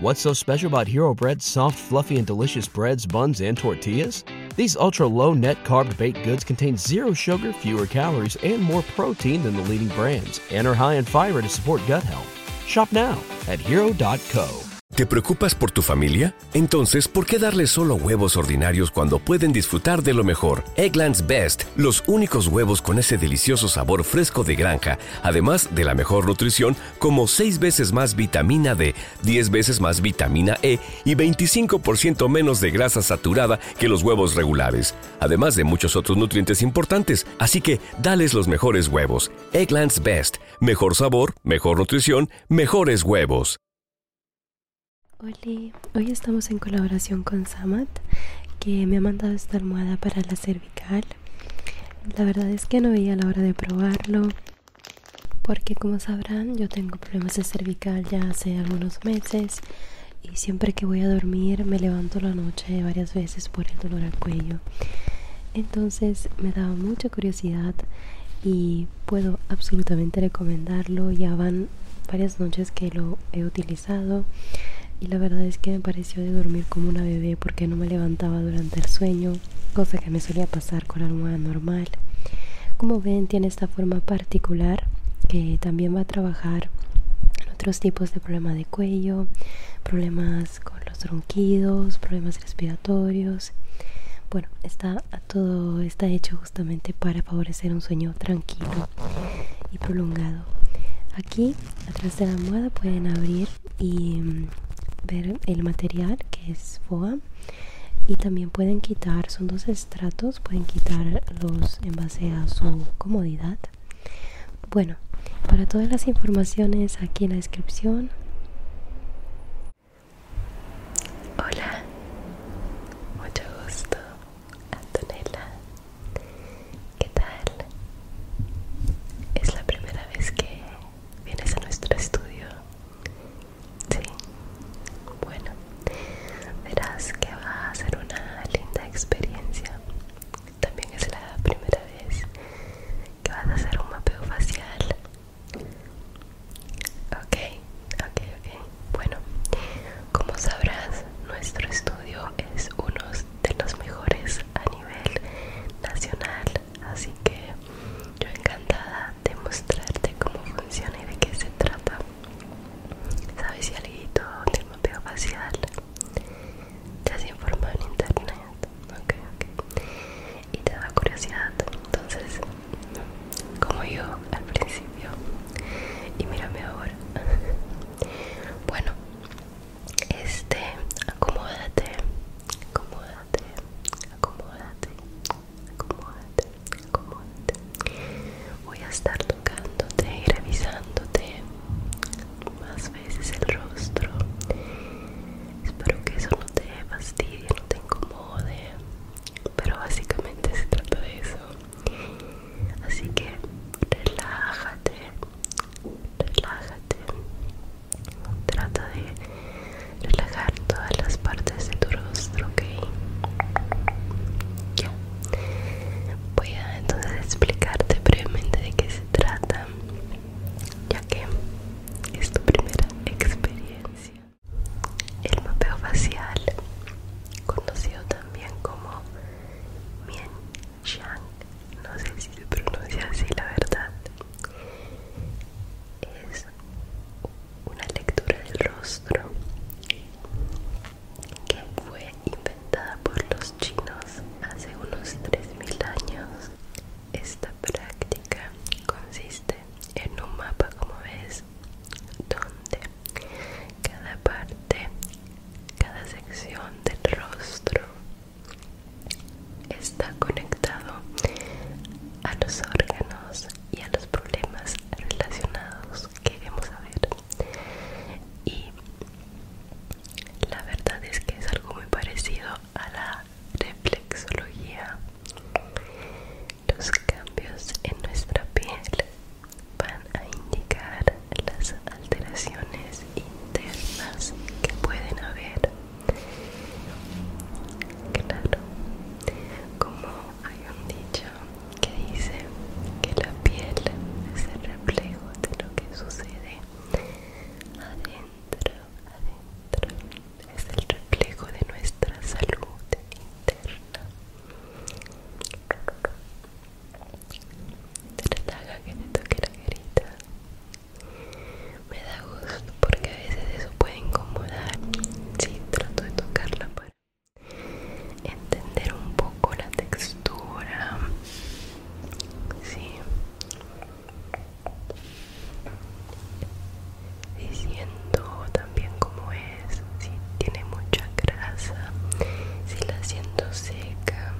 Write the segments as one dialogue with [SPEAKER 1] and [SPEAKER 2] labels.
[SPEAKER 1] What's so special about Hero Bread's soft, fluffy, and delicious breads, buns, and tortillas? These ultra low net carb baked goods contain zero sugar, fewer calories, and more protein than the leading brands, and are high in fiber to support gut health. Shop now at hero.co. ¿Te preocupas por tu familia? Entonces, ¿por qué darles solo huevos ordinarios cuando pueden disfrutar de lo mejor? Eggland's Best, los únicos huevos con ese delicioso sabor fresco de granja, además de la mejor nutrición como 6 veces más vitamina D, 10 veces más vitamina E y 25% menos de grasa saturada que los huevos regulares, además de muchos otros nutrientes importantes. Así que dales los mejores huevos. Egglands Best. Mejor sabor, mejor nutrición, mejores huevos.
[SPEAKER 2] Hola, hoy estamos en colaboración con Samad, que me ha mandado esta almohada para la cervical la verdad es que no veía la hora de probarlo porque como sabrán yo tengo problemas de cervical ya hace algunos meses y siempre que voy a dormir me levanto la noche varias veces por el dolor al cuello. Entonces me daba mucha curiosidad y puedo absolutamente recomendarlo. Ya van varias noches que lo he utilizado y la verdad es que me pareció de dormir como una bebé porque no me levantaba durante el sueño, cosa que me solía pasar con almohada normal. Como ven, tiene esta forma particular que también va a trabajar en otros tipos de problemas de cuello, problemas con los tronquidos, problemas respiratorios. Bueno, está todo está hecho justamente para favorecer un sueño tranquilo y prolongado. Aquí atrás de la almohada pueden abrir y mm, ver el material que es foam y también pueden quitar son dos estratos pueden quitarlos en base a su comodidad bueno para todas las informaciones aquí en la descripción hola mucho gusto Antonella ¿Qué tal? ¿Es la primera vez que vienes a nuestro estudio? Sí.
[SPEAKER 3] Bueno, verás que va a ser una linda experiencia. También es la primera vez que vas a hacer un mapeo facial. Ok, ok, ok. Bueno, como sabrás, nuestro estudio es unos de los mejores a nivel nacional así que yo encantada de mostrarte cómo funciona y de qué se trata sabes si alguien del mapeo facial te has informado en internet ok ok y te da curiosidad entonces como yo al principio y mírame ahora bueno este acomódate acomódate acomódate acomódate acomódate voy a estar tocándote y revisándote más veces el rostro espero que eso no te fastidie no te incomode pero básicamente se trata de eso Así que relájate, relájate. Trata de relajar todas las partes de tu rostro, ¿ok? Ya. Voy a entonces explicarte brevemente de qué se trata, ya que es tu primera experiencia. El mapeo facial, conocido también como Mianchang, no sé si se pronuncia así la verdad, es una lectura del rostro que fue inventada por los chinos hace unos 3.000 años. Esta práctica consiste en un mapa como ves donde cada parte, cada sección del rostro está conectado a los órganos y a los problemas relacionados que queremos saber y la verdad es que es algo muy parecido a la reflexología los cambios en nuestra piel van a indicar las alteraciones internas que pueden haber. Claro, como hay un dicho que dice que la piel es el reflejo de lo que sucede adentro, adentro, es el reflejo de nuestra salud interna te que me da gusto porque a veces eso puede incomodar si trato de tocarla para entender un poco la textura sí y siento bien como es, si tiene mucha grasa, si la siento seca.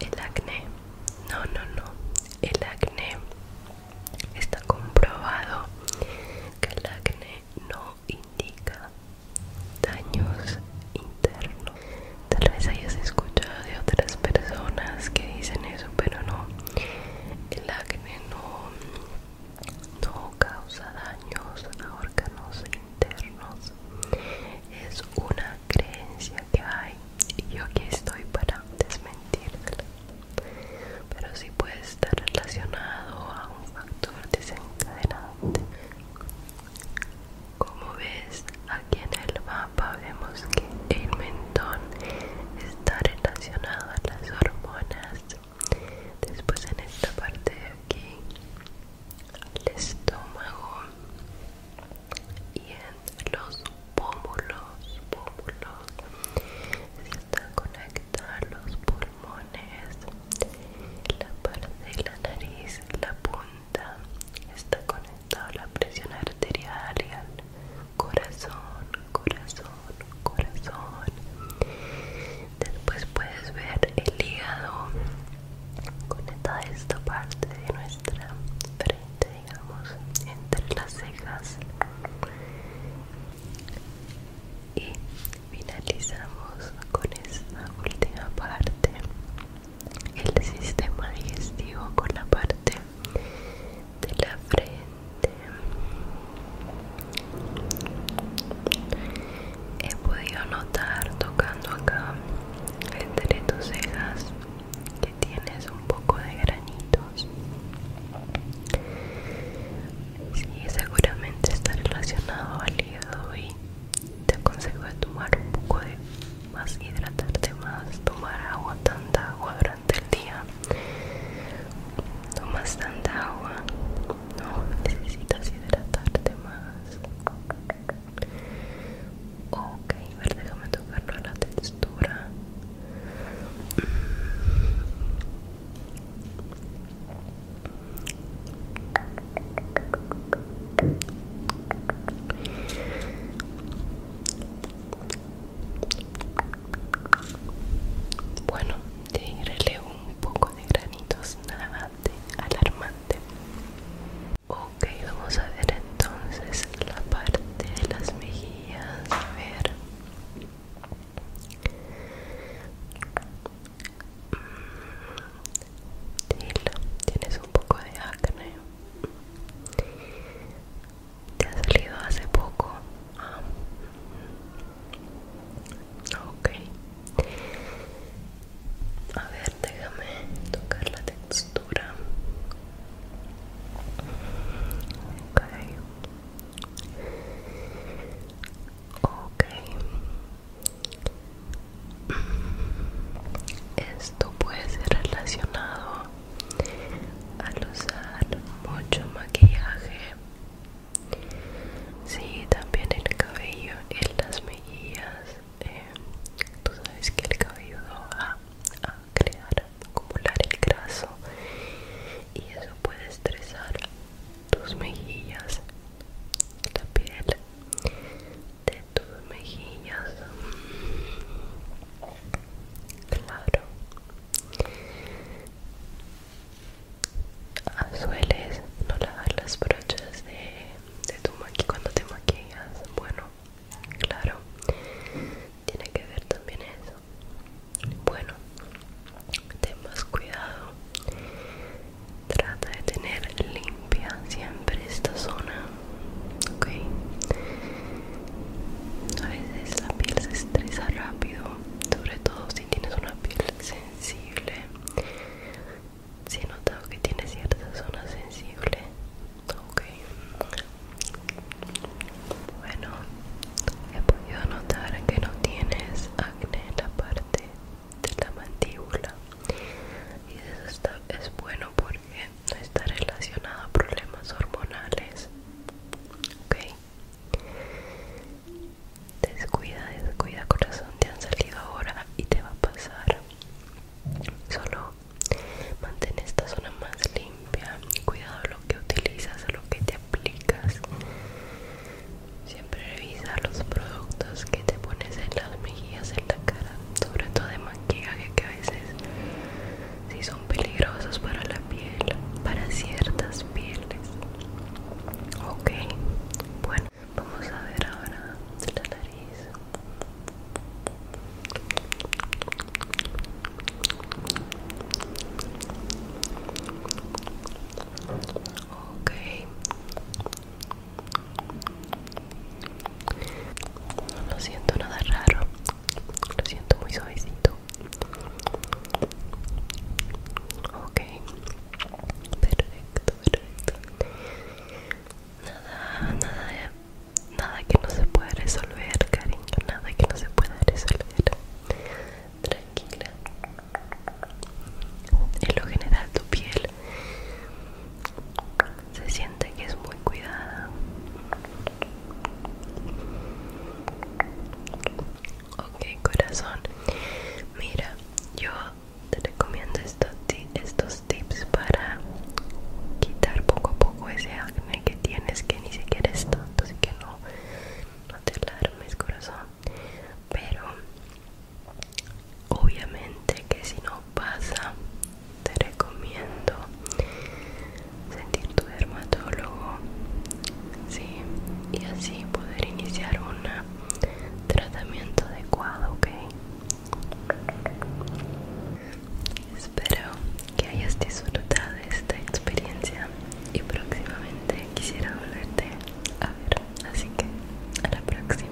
[SPEAKER 3] El acné, no, no, no, el acné está comprobado que el acné no indica daños internos. Tal vez hayas escuchado de otras personas que dicen eso, pero no. El acné no, causa daños a órganos internos. Es una creencia que hay y yo aquí estoy para desmentirla. Pero si puede estar relacionado a un factor desencadenante. Como ves, aquí en el mapa vemos que el mentón está relacionado a las hormonas después en esta parte de aquí el estómago y en los pómulos pómulos se está conectando los pulmones la parte de la nariz la punta está conectada la presión arterial corazón, corazón, corazón. Después puedes ver el hígado conectado a esta parte de nuestra frente, digamos, entre las cejas. Y finalizamos con esta última parte, el sistema digestivo con la parte de la frente he podido notar tocando acá entre tus cejas que tienes un poco de granitos y seguramente está relacionado al hígado y te aconsejo de tomar un poco de más hidratarte más, tomar agua, tanta agua durante el día. Tomas tanta agua, no necesitas hidratarte más. Ok, a ver, déjame tocarlo a la textura. Bueno, te un poco de granitos, nada de alarmante. Ok, vamos a ver entonces la parte de las mejillas. A ver. Mm, tienes un poco de acné. Te ha salido hace poco. Ah. Ok. A ver, déjame tocar la textura. Okay. Ok. Esto puede ser relacionado al usar mucho maquillaje. Sí, también el cabello en las mejillas. Eh, tú sabes que el cabello va a crear, acumular el graso y eso puede estresar tus mejillas, la piel de tus mejillas claro ah, sueles no lavar las brochas de, tu maquillaje, cuando te maquillas bueno claro tiene que ver también eso bueno ten más cuidado trata de tener limpio siempre esta zona ok a veces la piel se estresa rápido sobre todo si tienes una piel sensible si he notado que tiene cierta zona sensible ok bueno he podido notar que no tienes acné en la parte de la mandíbula y eso está, es bueno porque no está relacionado a problemas hormonales. Ok. Descuida, descuida corazón, te han salido ahora y te va a pasar. Solo mantén esta zona más limpia. Cuidado lo que utilizas, lo que te aplicas. Siempre revisa los productos que te pones en las mejillas hacer en la cara, sobre todo de maquillaje que a veces sí son peligrosos para la piel, para ciertas pieles. Ok, bueno, vamos a ver ahora la nariz. Ok, no siento nada raro. Lo siento muy suavecito. Ok. Perfecto, perfecto. Nada, nada, nada que no se pueda resolver, cariño. Nada que no se pueda resolver. Tranquila. es lo general tu piel se siente que es muy cuidada ok corazón mira yo te recomiendo estos, estos tips para quitar poco a poco ese acné que tienes que ni siquiera es tonto, así que no no te alarmes corazón pero obviamente que si no pasa te recomiendo sentir tu dermatólogo ¿sí? y así poder iniciar un
[SPEAKER 2] tratamiento adecuado ok espero que hayas disfrutado esta experiencia y próximamente quisiera volverte a ver así que a la próxima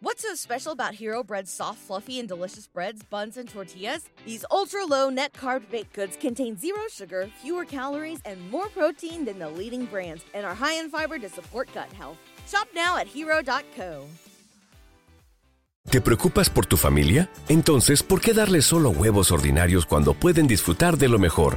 [SPEAKER 2] What's so special about Hero Bread's soft, fluffy, and delicious breads, buns, and tortillas? These ultra low net carb baked goods contain zero sugar, fewer calories, and more protein than the leading brands, and are high in fiber to support gut health. Shop now at hero.co.
[SPEAKER 1] ¿Te preocupas por tu familia? Entonces, ¿por qué darles solo huevos ordinarios cuando pueden disfrutar de lo mejor?